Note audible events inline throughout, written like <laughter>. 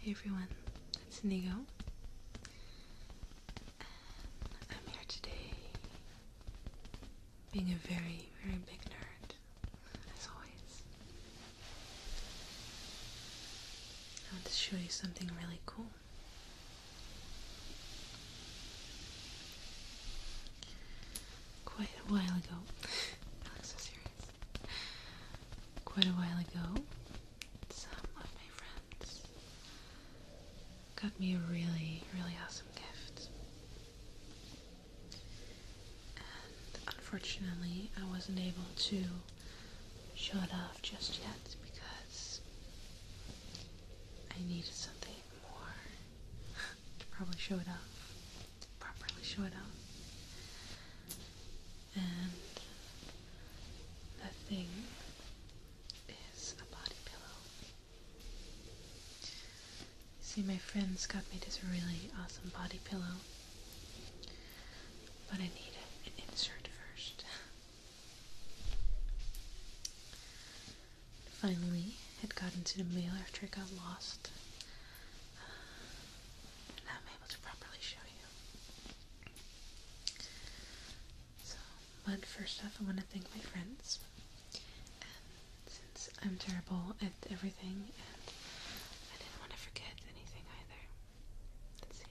Hey everyone, it's Nigo. And um, I'm here today being a very, very big nerd, as always. I want to show you something really cool. Quite a while ago, <laughs> Alex was here quite a while ago, some of my friends got me a really, really awesome gift. And unfortunately, I wasn't able to show it off just yet because I needed something more <laughs> to probably show it off properly show it out. And that thing is a body pillow. See, my friends got me this really awesome body pillow, but I need an insert first. Finally, it got into the mail after I got lost but first off, I want to thank my friends. since I'm terrible at everything, and I didn't want to forget anything either. Let's see.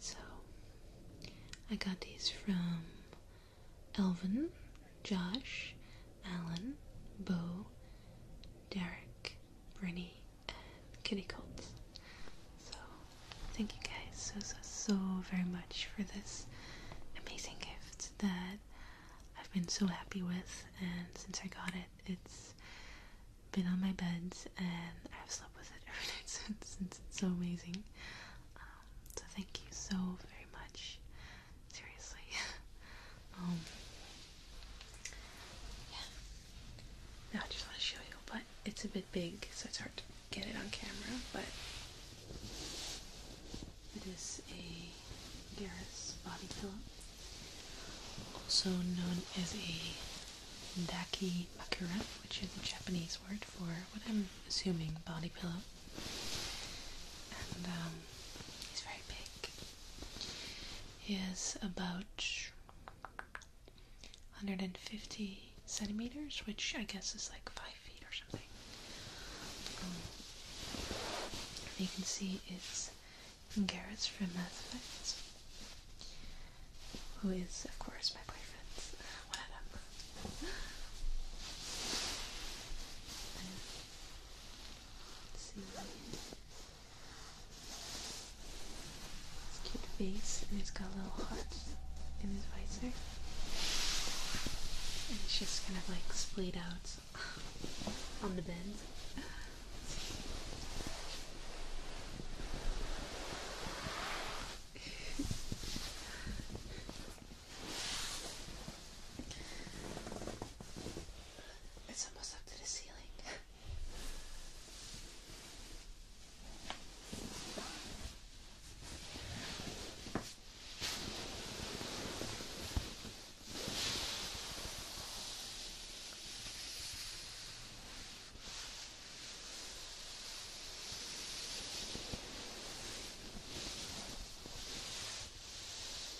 So, I got these from Elvin, Josh, Alan, Bo, Derek, Brittany, and Kitty Colts. So, thank you guys so, so, so very much for this amazing gift that I've been so happy with, and since I got it, it's been on my bed, and I've slept with it <laughs> every night since, since it's so amazing. Um, so, thank you so very much seriously. <laughs> Um, yeah. Now I just want to show you, but it's a bit big, so it's hard to get it on camera, but it is a Garris body pillow, also known as a Daki Makura, which is a Japanese word for what I'm assuming body pillow. And um, it's very big is about 150 centimeters, which I guess is like 5 feet or something. Um, you can see it's Garrett's from Mass Effect, who is, of course, my boyfriend. Uh, <gasps> Let's see. His cute face, and it has got a little heart in his visor. And it's just kind of like splayed out on the bend. It's almost up to the ceiling. <laughs>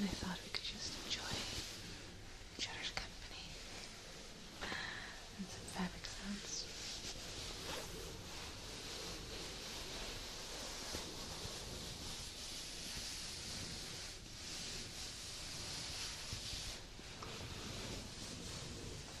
And I thought we could just enjoy each other's company and some fabric sounds.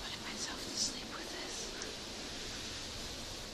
Putting myself to sleep with this.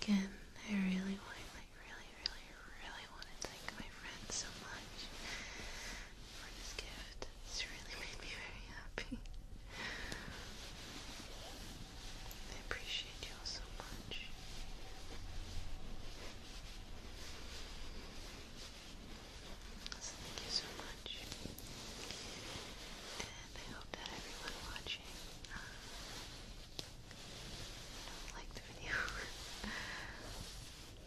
Okay, so again, I really want really, really, really want to thank my friend so much for this gift. It's really made me very happy. I appreciate you all so much. So thank you so much. And I hope that everyone watching uh, the video. <laughs>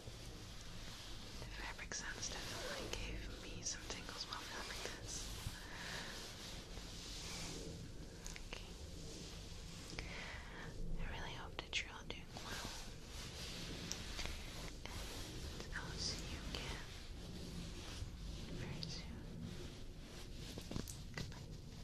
The fabric sounds definitely gave me some tingles while filming this. I really hope that you're all doing well. And I'll see you again very soon. Goodbye.